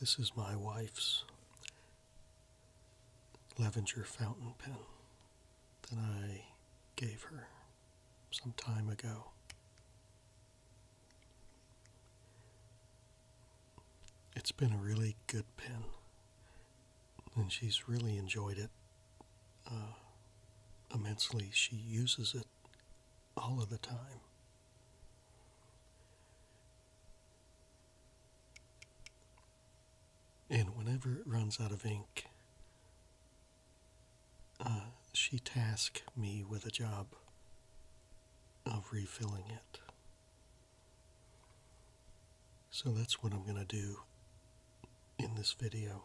This is my wife's Levenger fountain pen that I gave her some time ago. It's been a really good pen, and she's really enjoyed it uh, immensely. She uses it all of the time. And whenever it runs out of ink, uh, she tasked me with a job of refilling it. So that's what I'm going to do in this video.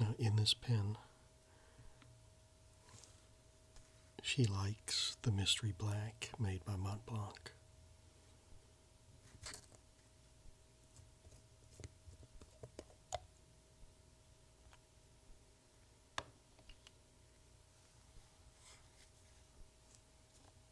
Now, in this pen, she likes the Mystery Black made by Montblanc.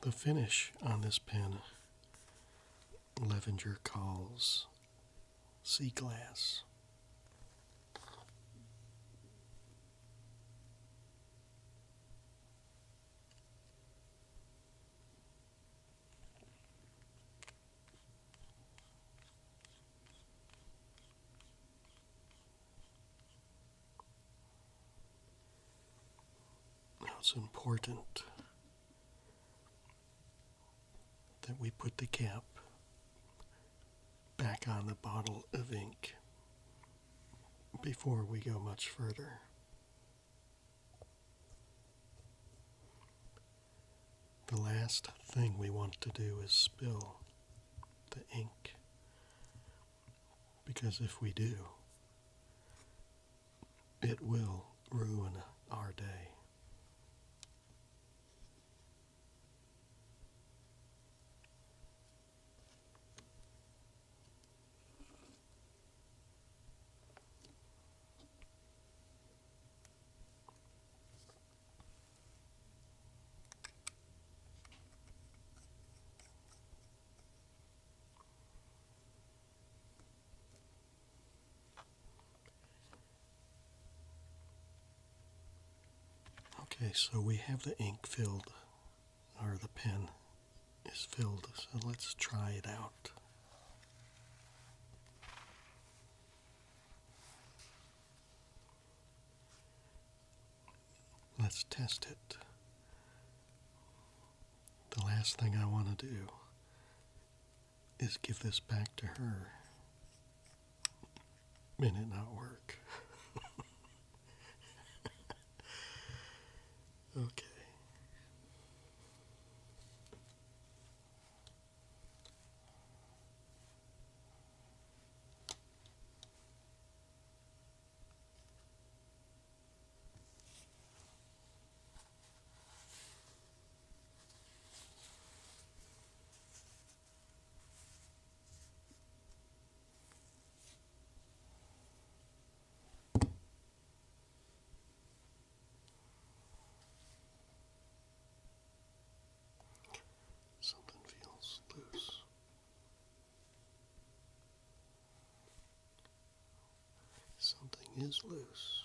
The finish on this pen, Levenger calls sea glass. It's important that we put the cap back on the bottle of ink before we go much further. The last thing we want to do is spill the ink because if we do, it will ruin our day. Okay, so we have the ink filled, or the pen is filled, so let's try it out. Let's test it. The last thing I want to do is give this back to her and it not work. okay. Something feels loose. Something is loose.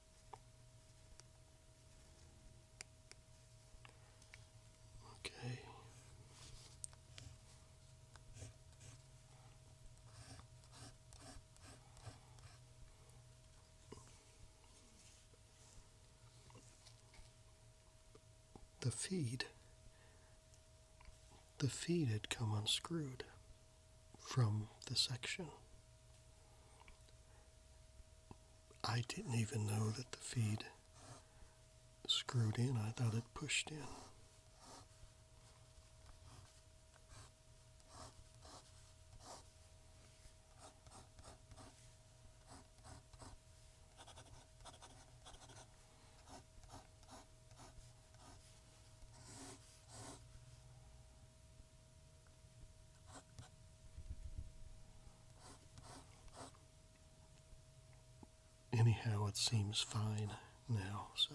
Okay. The feed, the feed had come unscrewed from the section. I didn't even know that the feed screwed in, I thought it pushed in. Anyhow, it seems fine now, so.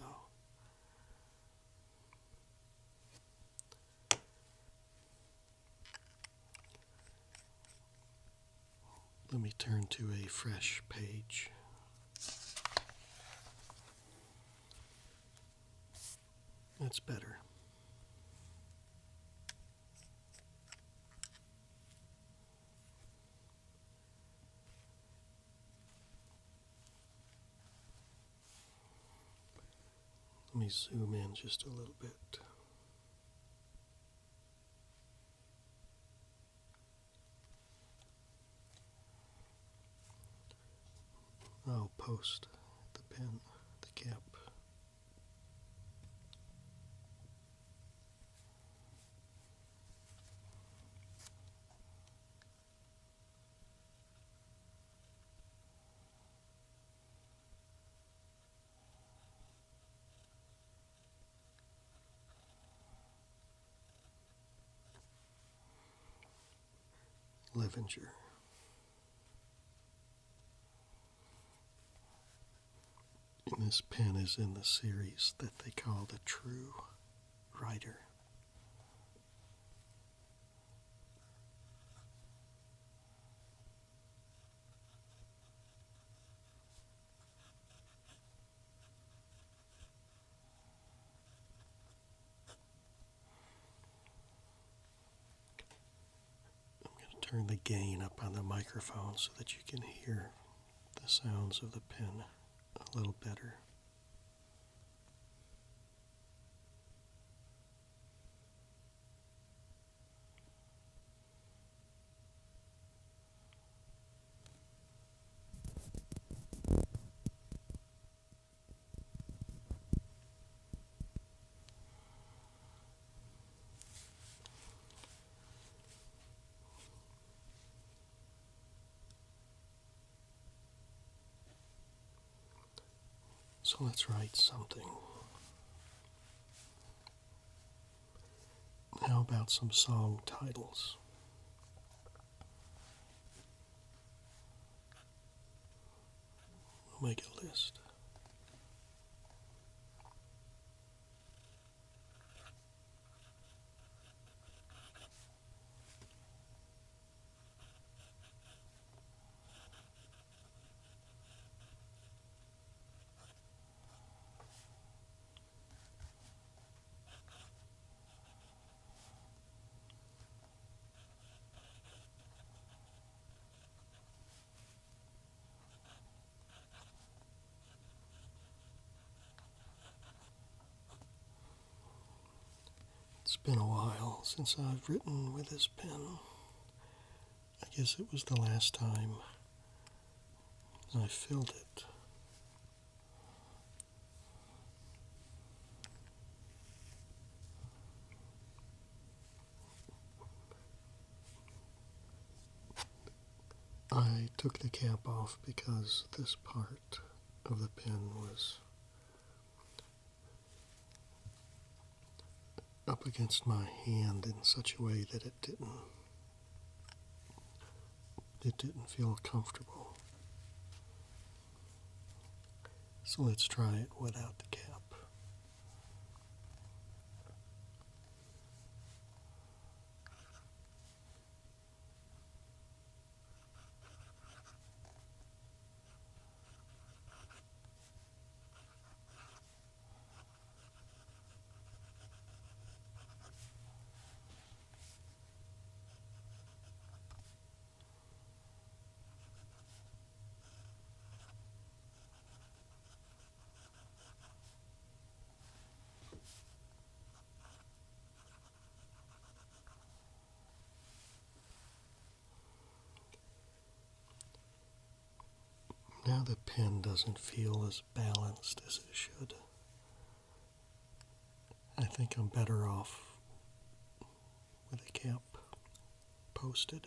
Let me turn to a fresh page. That's better. Let me zoom in just a little bit. I'll post the pen, the cap. Levenger. And this pen is in the series that they call the True Writer. I'm going to turn the gain up on the microphone so that you can hear the sounds of the pen a little better. So let's write something. How about some song titles? We'll make a list. It's been a while since I've written with this pen. I guess it was the last time I filled it. I took the cap off because this part of the pin was up against my hand in such a way that it didn't it didn't feel comfortable. So let's try it without the cap. Now the pen doesn't feel as balanced as it should. I think I'm better off with a camp posted.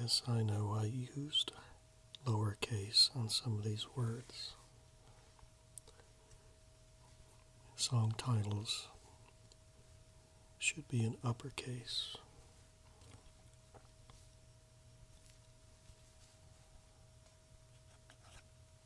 Yes, I know I used lowercase on some of these words. Song titles should be in uppercase.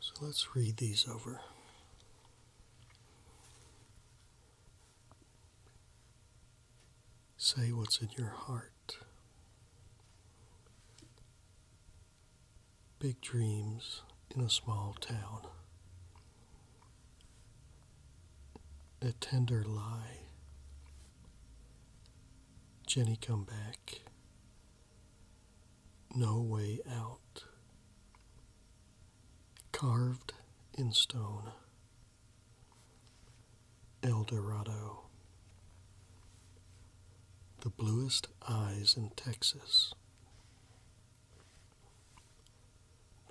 So let's read these over. Say what's in your heart. Big dreams in a small town. A tender lie. Jenny come back no way out. Carved in stone, El Dorado. The bluest eyes in Texas.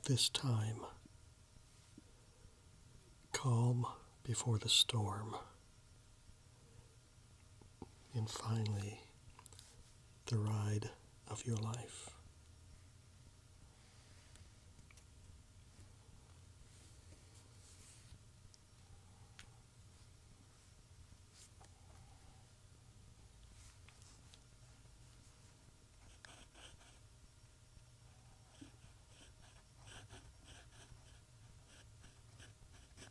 This time, calm before the storm, and finally the ride of your life.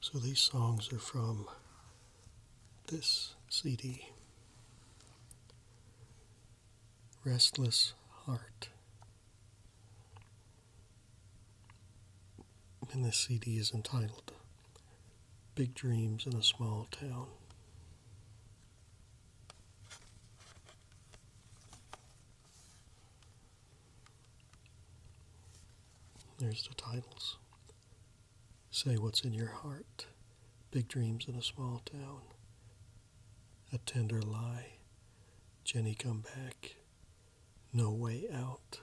So these songs are from this CD Restless Heart. And this CD is entitled Big Dreams in a Small Town. There's the titles. Say What's in Your Heart, Big Dreams in a Small Town, A Tender Lie, Jenny Come Back, No Way Out,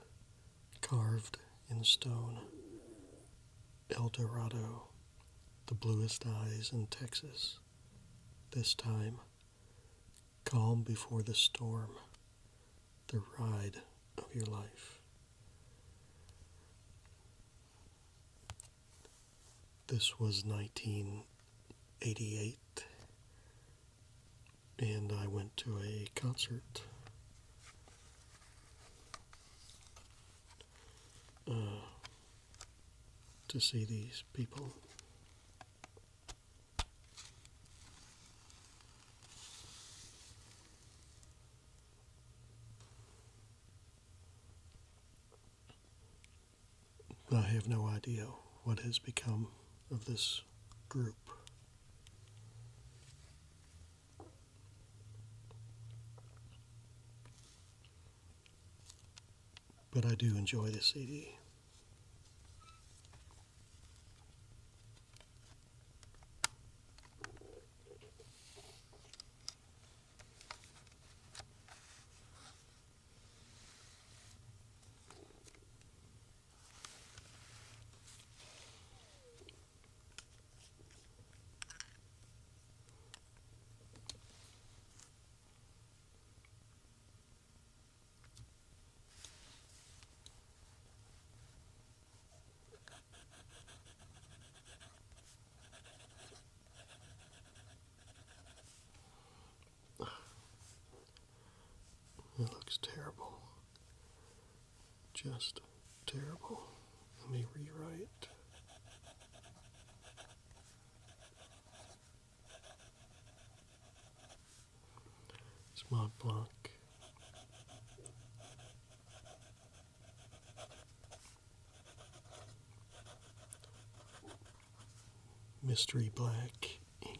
Carved in Stone, El Dorado, The Bluest Eyes in Texas, This Time, Calm before the storm, the ride of your life. This was 1988, and I went to a concert. Uh, to see these people. I have no idea what has become of this group. But I do enjoy the CD. It looks terrible. Just terrible. Let me rewrite. Smart block. Mystery black ink.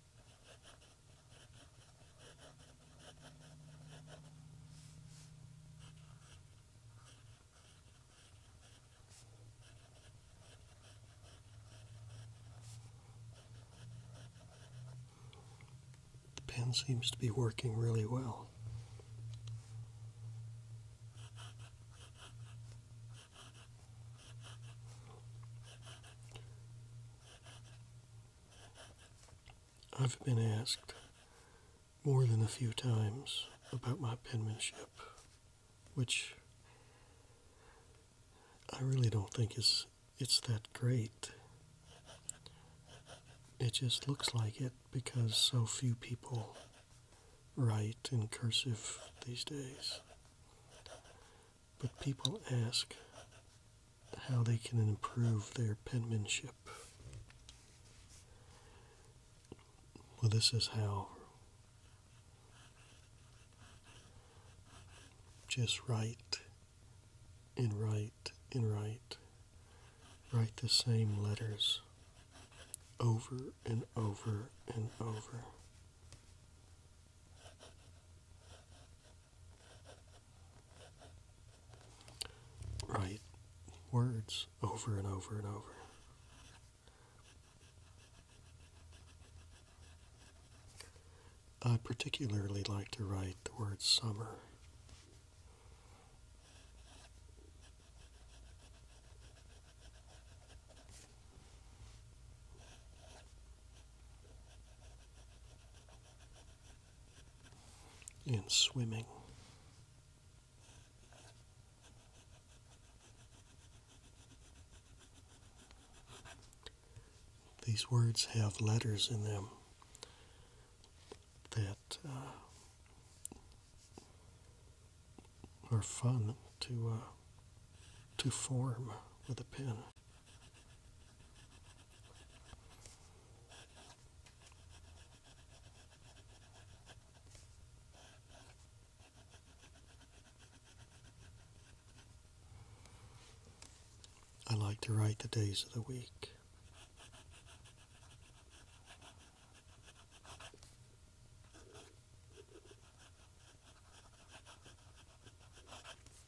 The pen seems to be working really well. I've been asked more than a few times about my penmanship, which I really don't think is it's that great. It just looks like it because so few people write in cursive these days but people ask how they can improve their penmanship. Well, this is how. Just write and write and write. Write the same letters over and over and over. Right words over and over and over. I particularly like to write the word summer. In swimming. These words have letters in them that uh, are fun to uh, to form with a pen. I like to write the days of the week.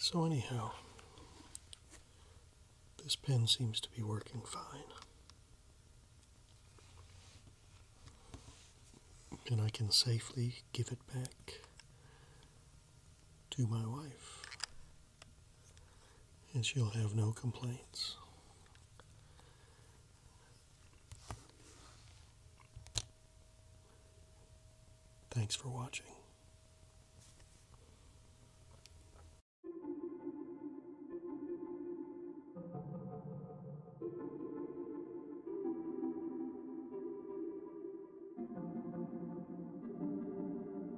So anyhow, this pen seems to be working fine. And I can safely give it back to my wife and she'll have no complaints. Thanks for watching.